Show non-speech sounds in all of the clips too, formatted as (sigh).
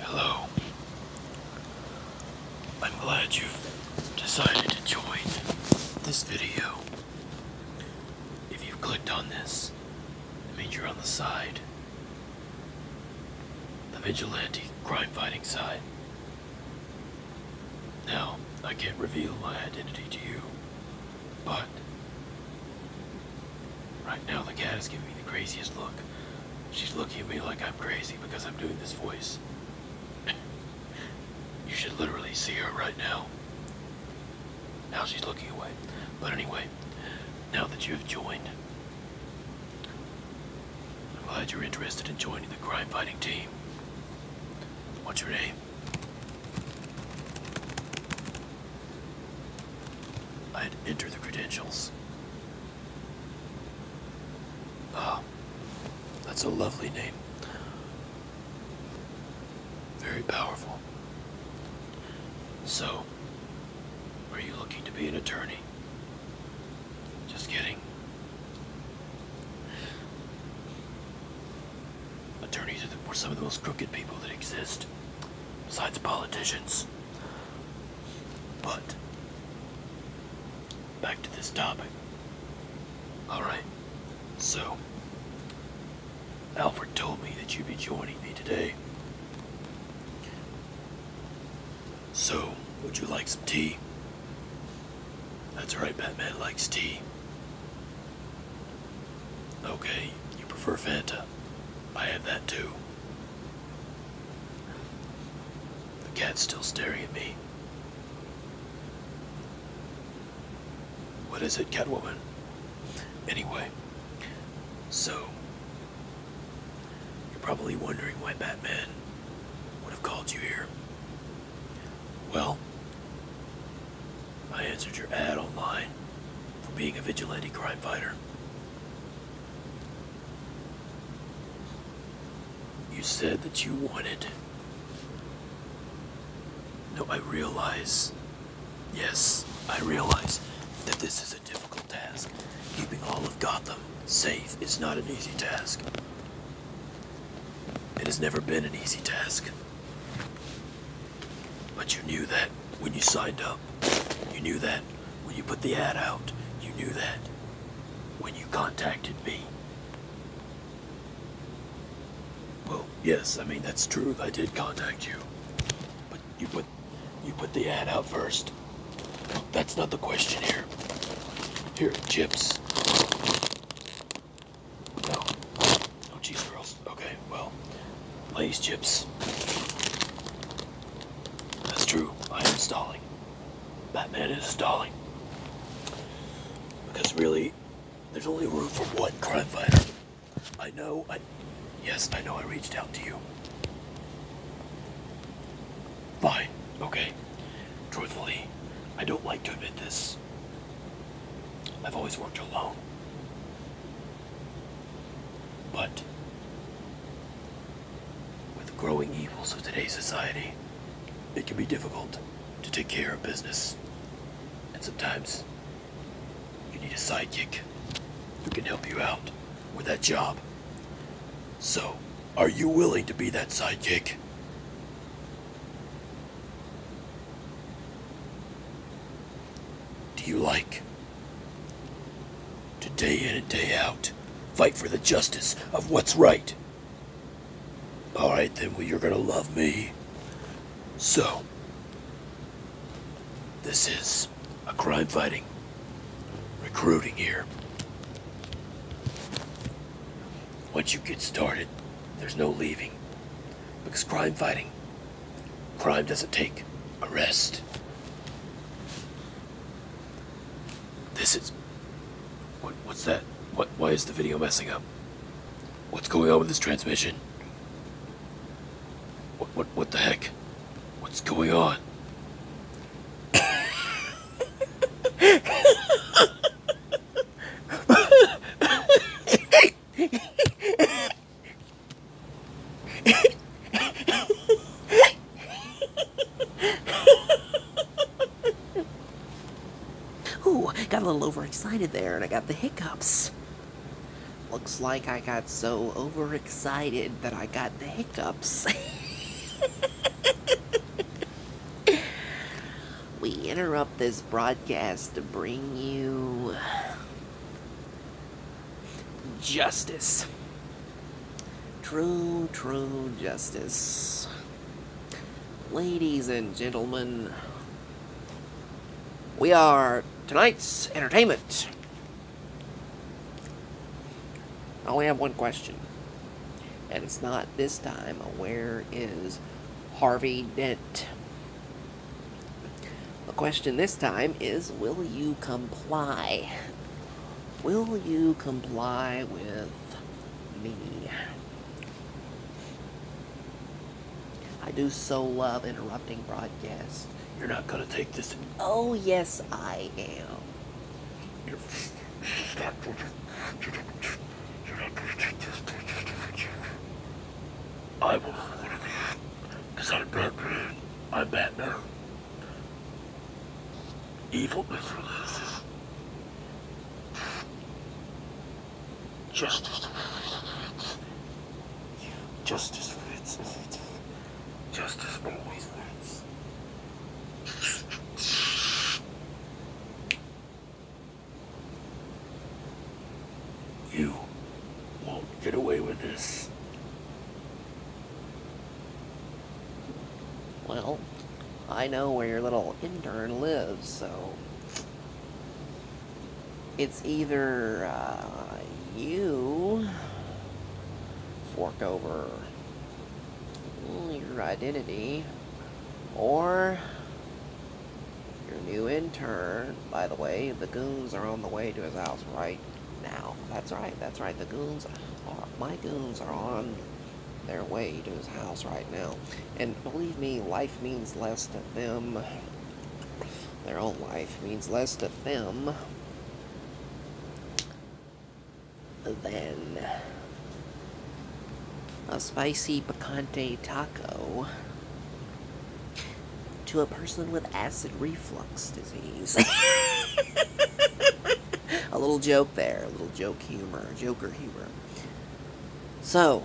Hello. I'm glad you've decided to join this video. If you've clicked on this, it means you're on the side. The vigilante crime fighting side. Now, I can't reveal my identity to you, but Right now, the cat is giving me the craziest look. She's looking at me like I'm crazy because I'm doing this voice. you should literally see her right now. Now she's looking away. But anyway, now that you have joined, I'm glad you're interested in joining the crime fighting team. What's your name? I had to enter the credentials. Ah, that's a lovely name. Very powerful. So, are you looking to be an attorney? Just kidding. Attorneys are some of the most crooked people that exist, besides politicians. But back to this topic. Alright, so Alfred told me that you'd be joining me today. So, would you like some tea? That's right, Batman likes tea. Okay, you prefer Fanta. I have that too. The cat's still staring at me. What is it, Catwoman? Anyway, so you're probably wondering why Batman would have called you here. Well, I answered your ad online for being a vigilante crime fighter. You said that you wanted. No, I realize. Yes, I realize that this is a difficult task. Keeping all of Gotham safe is not an easy task. It has never been an easy task. But you knew that when you signed up. You knew that when you put the ad out. You knew that when you contacted me. Well, yes, I mean that's true. I did contact you. But you put you put the ad out first. That's not the question here. Here, chips. No. No oh, cheese girls. Okay, well, Lay's chips. That's true. I am stalling. Batman is stalling. Because really, there's only room for one crime fighter. I know. I yes, I know. I reached out to you. Fine. Okay. Truthfully, I don't like to admit this. I've always worked alone. But with the growing evils of today's society, it can be difficult to take care of business. And sometimes you need a sidekick who can help you out with that job. So, are you willing to be that sidekick? do you like? To day in and day out, fight for the justice of what's right. Alright then, you're gonna love me. So, this is a crime fighting recruiting here. Once you get started, there's no leaving. Because crime fighting Crime doesn't take a rest. This is. What, what's that? What? Why is the video messing up? What's going on with this transmission? What? What? What the heck? What's going on? (laughs) (laughs) Ooh, got a little overexcited there and I got the hiccups. Looks like I got so overexcited that I got the hiccups. (laughs) we interrupt this broadcast to bring you Justice. True, true justice. Ladies and gentlemen, we are tonight's entertainment. I only have one question. And it's not this time. Where is Harvey Dent? The question this time is, will you comply? Will you comply with me? I do so love interrupting broadcasts. You're not gonna take this. Oh, yes, I am. I will one of Because I'm Batman. I'm Batman. Evil Mr. Loses. Justice for wins. Justice wins. Justice always wins. You won't get away with this. Well, I know where your little intern lives, so... It's either, uh, you... fork over your identity, or your new intern, by the way, the goons are on the way to his house right now. That's right, that's right. The goons my goons are on their way to his house right now. And believe me, life means less to them. Their own life means less to them than a spicy picante taco to a person with acid reflux disease. (laughs) a little joke there, a little joke humor, joker humor. So,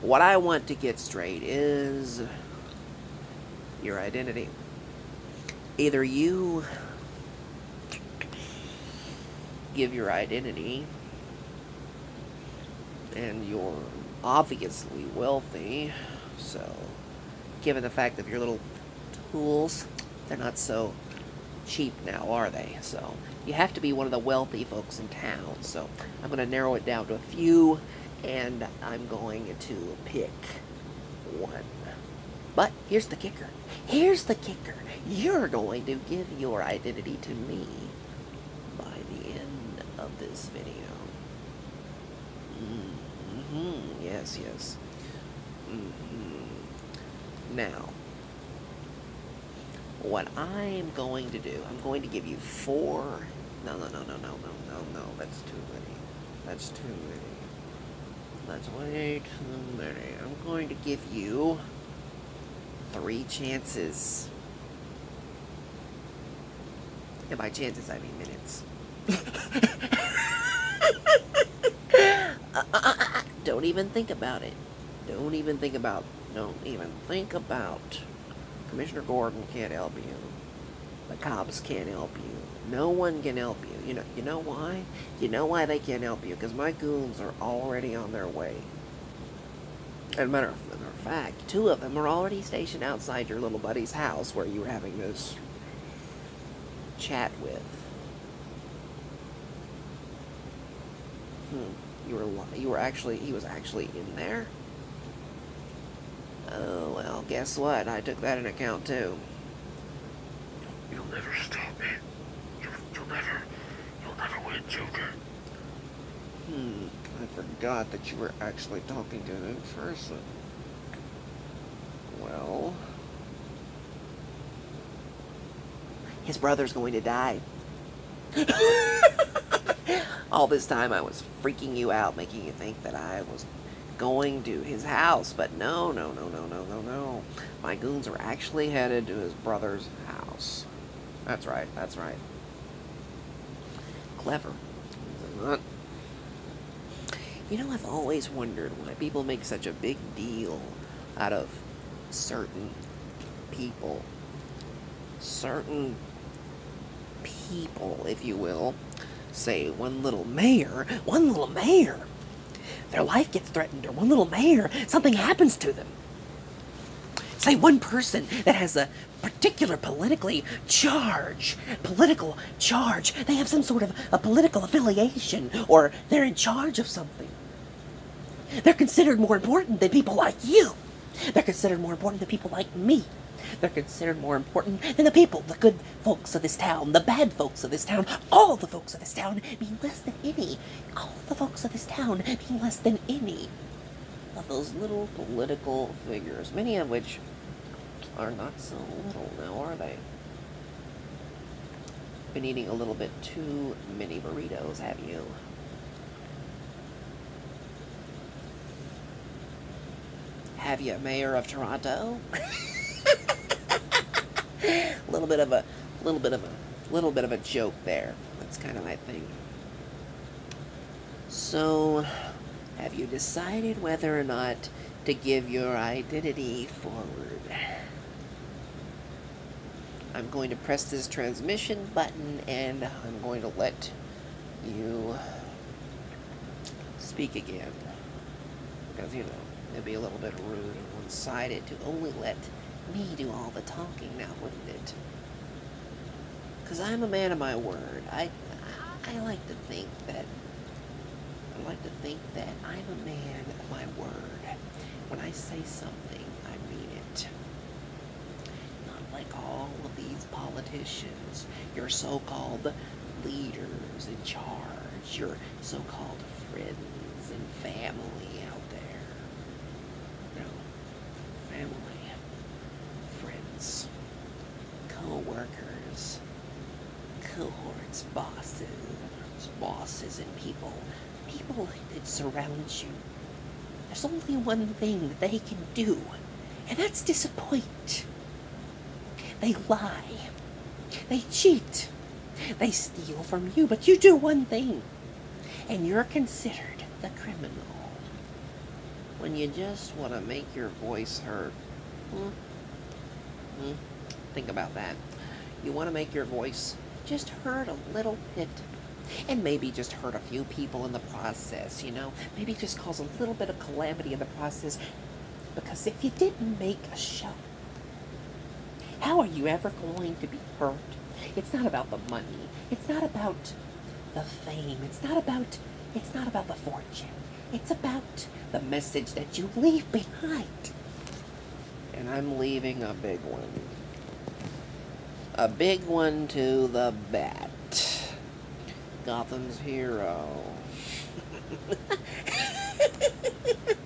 what I want to get straight is your identity. Either you give your identity and you're obviously wealthy, so given the fact that your little tools, they're not so cheap now, are they? So you have to be one of the wealthy folks in town, so I'm going to narrow it down to a few, and I'm going to pick one. But here's the kicker. Here's the kicker. You're going to give your identity to me by the end of this video. Mm -hmm. Yes, yes. Mm -hmm. Now, what I'm going to do, I'm going to give you four. No, no, no, no, no, no, no, no. That's too many. That's too many. That's way too many. I'm going to give you three chances. And by chances, I mean minutes. (laughs) don't even think about it. Don't even think about. Don't even think about. Commissioner Gordon can't help you. The cops can't help you. No one can help you. You know. You know why? You know why they can't help you? Because my goons are already on their way. As a matter of, fact, two of them are already stationed outside your little buddy's house where you were having this chat with. Hmm, you were you were actually he was actually in there. Oh well, guess what? I took that in account too. You'll never stop me. you'll never. You're going win, Joker. Hmm, I forgot that you were actually talking to an person. Well... His brother's going to die. (laughs) All this time I was freaking you out, making you think that I was going to his house, but no, no, no, no, no, no, no. My goons are actually headed to his brother's house. That's right, that's right. Clever. You know, I've always wondered why people make such a big deal out of certain people. Certain people, if you will. Say, one little mayor, one little mayor. Their life gets threatened, or one little mayor, something happens to them. Say one person that has a particular politically charge, political charge. They have some sort of a political affiliation or they're in charge of something. They're considered more important than people like you. They're considered more important than people like me. They're considered more important than the people, the good folks of this town, the bad folks of this town, all the folks of this town mean less than any. All the folks of this town mean less than any of those little political figures, many of which are not so little now, are they? Been eating a little bit too many burritos, have you? Have you, Mayor of Toronto? (laughs) a little bit of a a little bit of a little bit of a joke there. That's kind of my thing. So, have you decided whether or not to give your identity forward? I'm going to press this transmission button and I'm going to let you speak again. Because, you know, it'd be a little bit rude and one-sided to only let me do all the talking now, wouldn't it? Because I'm a man of my word. I, I like to think that, I like to think that I'm a man of my word. When I say something, I mean it. Not like all of these politicians, your so-called leaders in charge your so-called friends and family out there. No, family, friends, co-workers, cohorts, bosses, bosses and people, people that surround you. There's only one thing that they can do, and that's disappoint. They lie. They cheat. They steal from you, but you do one thing, and you're considered the criminal. When you just want to make your voice heard. Hmm? Hmm? Think about that. You want to make your voice just heard a little bit. And maybe just hurt a few people in the process, you know? Maybe just cause a little bit of calamity in the process. Because if you didn't make a show, how are you ever going to be hurt? It's not about the money. It's not about the fame. It's not about it's not about the fortune. It's about the message that you leave behind. And I'm leaving a big one. A big one to the bat. Gotham's hero. (laughs)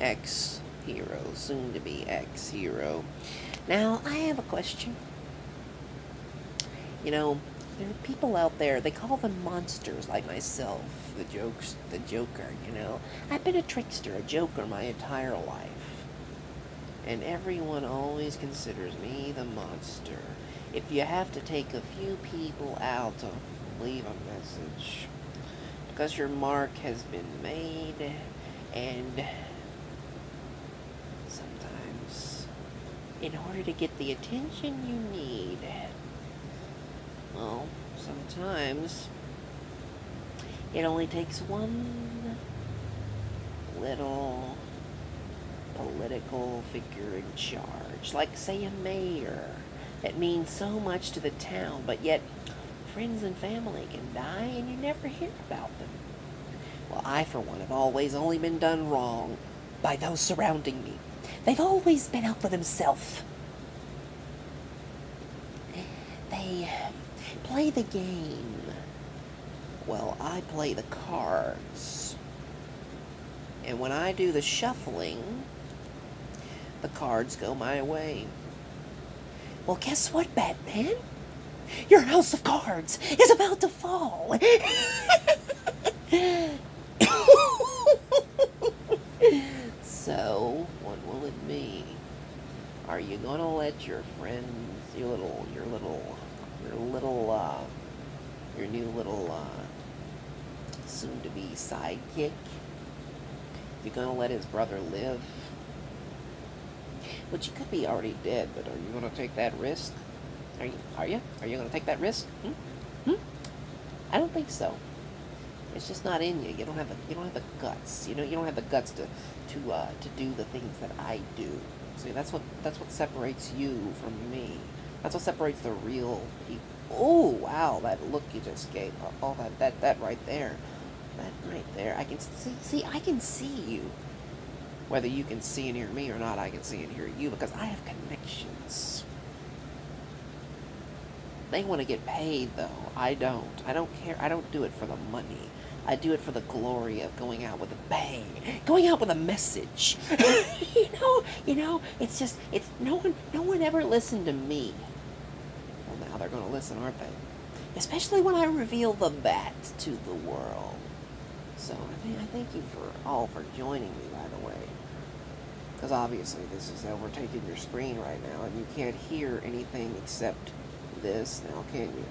X hero, soon to be X hero. Now, I have a question. You know, there are people out there, they call them monsters like myself, the jokes, the joker, you know. I've been a trickster, a joker my entire life. And everyone always considers me the monster. If you have to take a few people out of leave a message because your mark has been made and sometimes in order to get the attention you need well sometimes it only takes one little political figure in charge like say a mayor that means so much to the town, but yet friends and family can die and you never hear about them. Well, I, for one, have always only been done wrong by those surrounding me. They've always been out for themselves. They uh, play the game. Well, I play the cards. And when I do the shuffling, the cards go my way. Well, guess what, Batman? Your house of cards is about to fall. so, what will it be? Are you gonna let your friends, your little, your little, your little, uh, your new little, uh, soon to be sidekick. You're gonna let his brother live. Which he could be already dead, but are you gonna take that risk? Are you are you? Are you gonna take that risk? Hmm? Hmm? I don't think so. It's just not in you. You don't have the you don't have the guts. You know you don't have the guts to to uh, to do the things that I do. See, that's what that's what separates you from me. That's what separates the real people Oh, wow, that look you just gave. All that, that, that right there. That right there. I can see, see, I can see you. Whether you can see and hear me or not, I can see and hear you because I have connections. They want to get paid, though. I don't. I don't care. I don't do it for the money. I do it for the glory of going out with a bang, going out with a message. (laughs) you know, you know, it's just, it's no one no one ever listened to me. Well now they're gonna listen, aren't they? Especially when I reveal the bat to the world. So I I thank you for all for joining me by the way. Because obviously this is overtaking your screen right now and you can't hear anything except this now, can you?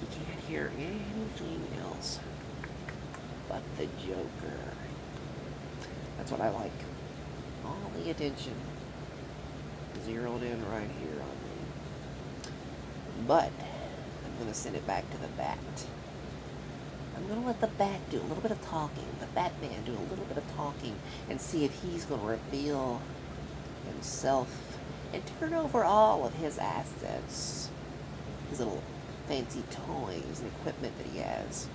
You can't hear anything else but the Joker. That's what I like. All the attention zeroed in right here on me. But I'm going to send it back to the bat. I'm going to let the bat do a little bit of talking, the Batman do a little bit of talking, and see if he's going to reveal himself and turn over all of his assets. His little fancy toys and equipment that he has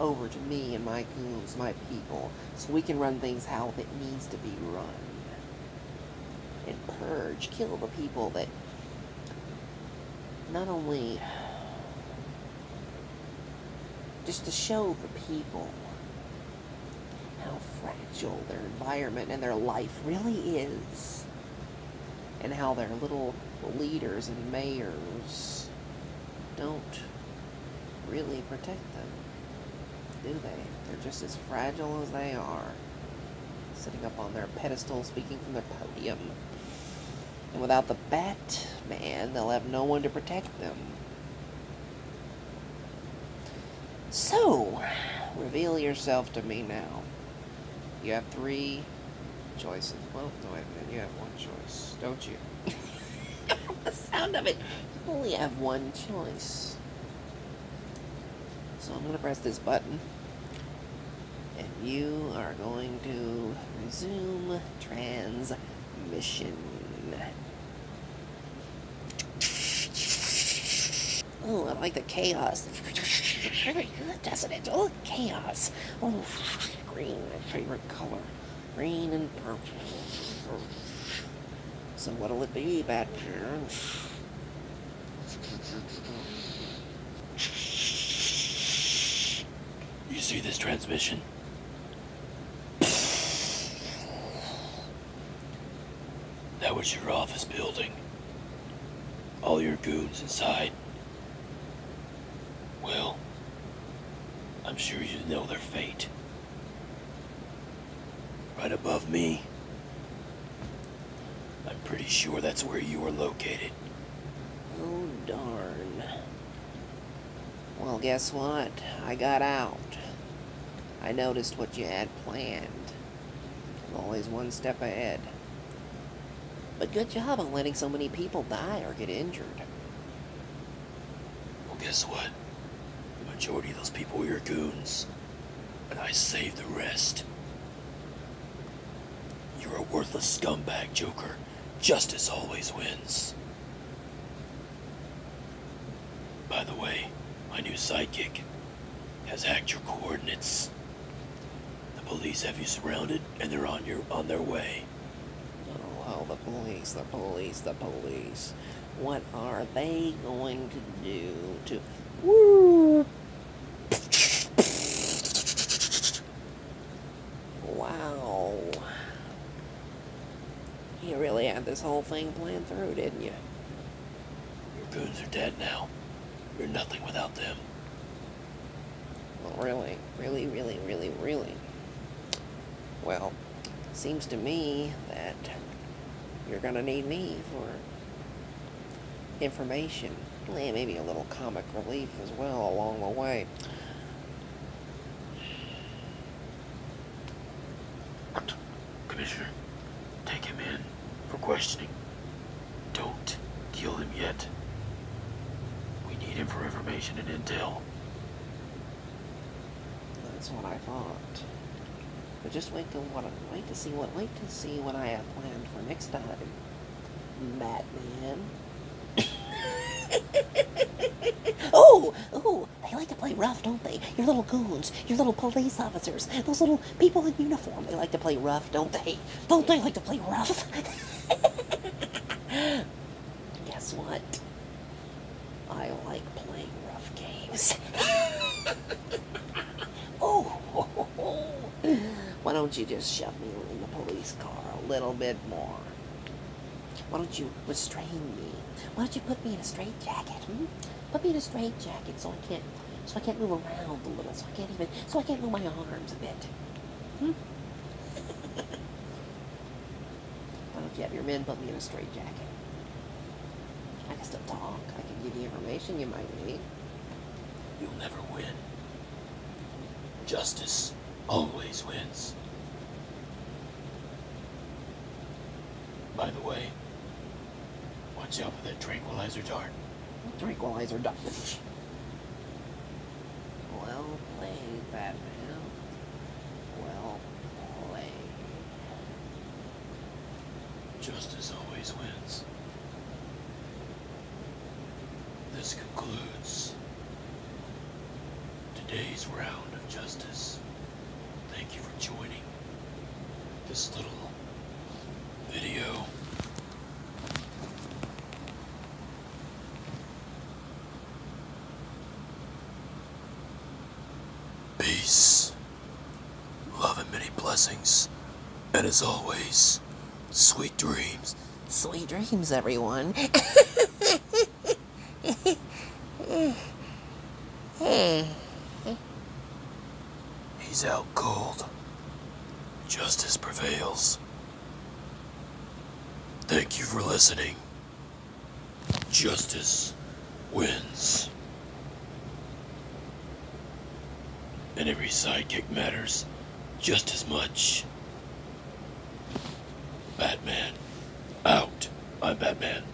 over to me and my coons, my people, so we can run things how that needs to be run. And purge, kill the people that not only just to show the people how fragile their environment and their life really is and how their little leaders and mayors don't really protect them, do they? They're just as fragile as they are, sitting up on their pedestal speaking from their podium. And without the Batman, they'll have no one to protect them. So, reveal yourself to me now. You have three choices. Well, no, I mean You have one choice, don't you? (laughs) the sound of it. You only have one choice. So I'm going to press this button. And you are going to resume transmission. Oh, I like the chaos. Doesn't it? Oh, chaos. Oh, green, my favorite color. Green and purple. So what'll it be, Batman? You see this transmission? That was your office building all your goons inside. Well, I'm sure you know their fate. Right above me, I'm pretty sure that's where you were located. Oh, darn. Well, guess what? I got out. I noticed what you had planned. I'm always one step ahead. But good job on letting so many people die or get injured. Well, guess what? The majority of those people were your goons. And I saved the rest. You're a worthless scumbag, Joker. Justice always wins. By the way, my new sidekick, has hacked your coordinates. The police have you surrounded, and they're on your on their way. Oh, the police, the police, the police. What are they going to do to... Woo! Wow. You really had this whole thing planned through, didn't you? Your goons are dead now. You're nothing without them. Well, really, really, really, really, really. Well, seems to me that you're going to need me for information. And maybe a little comic relief as well along the way. Commissioner, take him in for questioning. Don't kill him yet. We need him for information and intel. That's what I thought. But just wait to what wait to see what wait to see what I have planned for next time. Batman. (laughs) oh, oh, they like to play rough, don't they? Your little goons, your little police officers, those little people in uniform they like to play rough, don't they? Don't they like to play rough? (laughs) Guess what? I like playing rough games. (laughs) oh, (laughs) why don't you just shove me in the police car a little bit more? Why don't you restrain me? Why don't you put me in a straitjacket? Hmm? Put me in a straitjacket, jacket so I can't so I can't move around a little. So I can't even, so I can't move my arms a bit. Hmm? well, if you have your men put me in a straitjacket, I can still talk. I can give you information you might need. You'll never win. Justice always wins. By the way, What's up with that tranquilizer dart. tranquilizer dart? well played, Batman. Well played. Justice always wins. This concludes today's round of justice. Thank you for joining this little video. Peace, love and many blessings, and as always, sweet dreams. Sweet dreams, everyone. (laughs) (laughs) He's out cold. Justice prevails. Thank you for listening. Justice wins. And every sidekick matters just as much. Batman. Out. I'm Batman.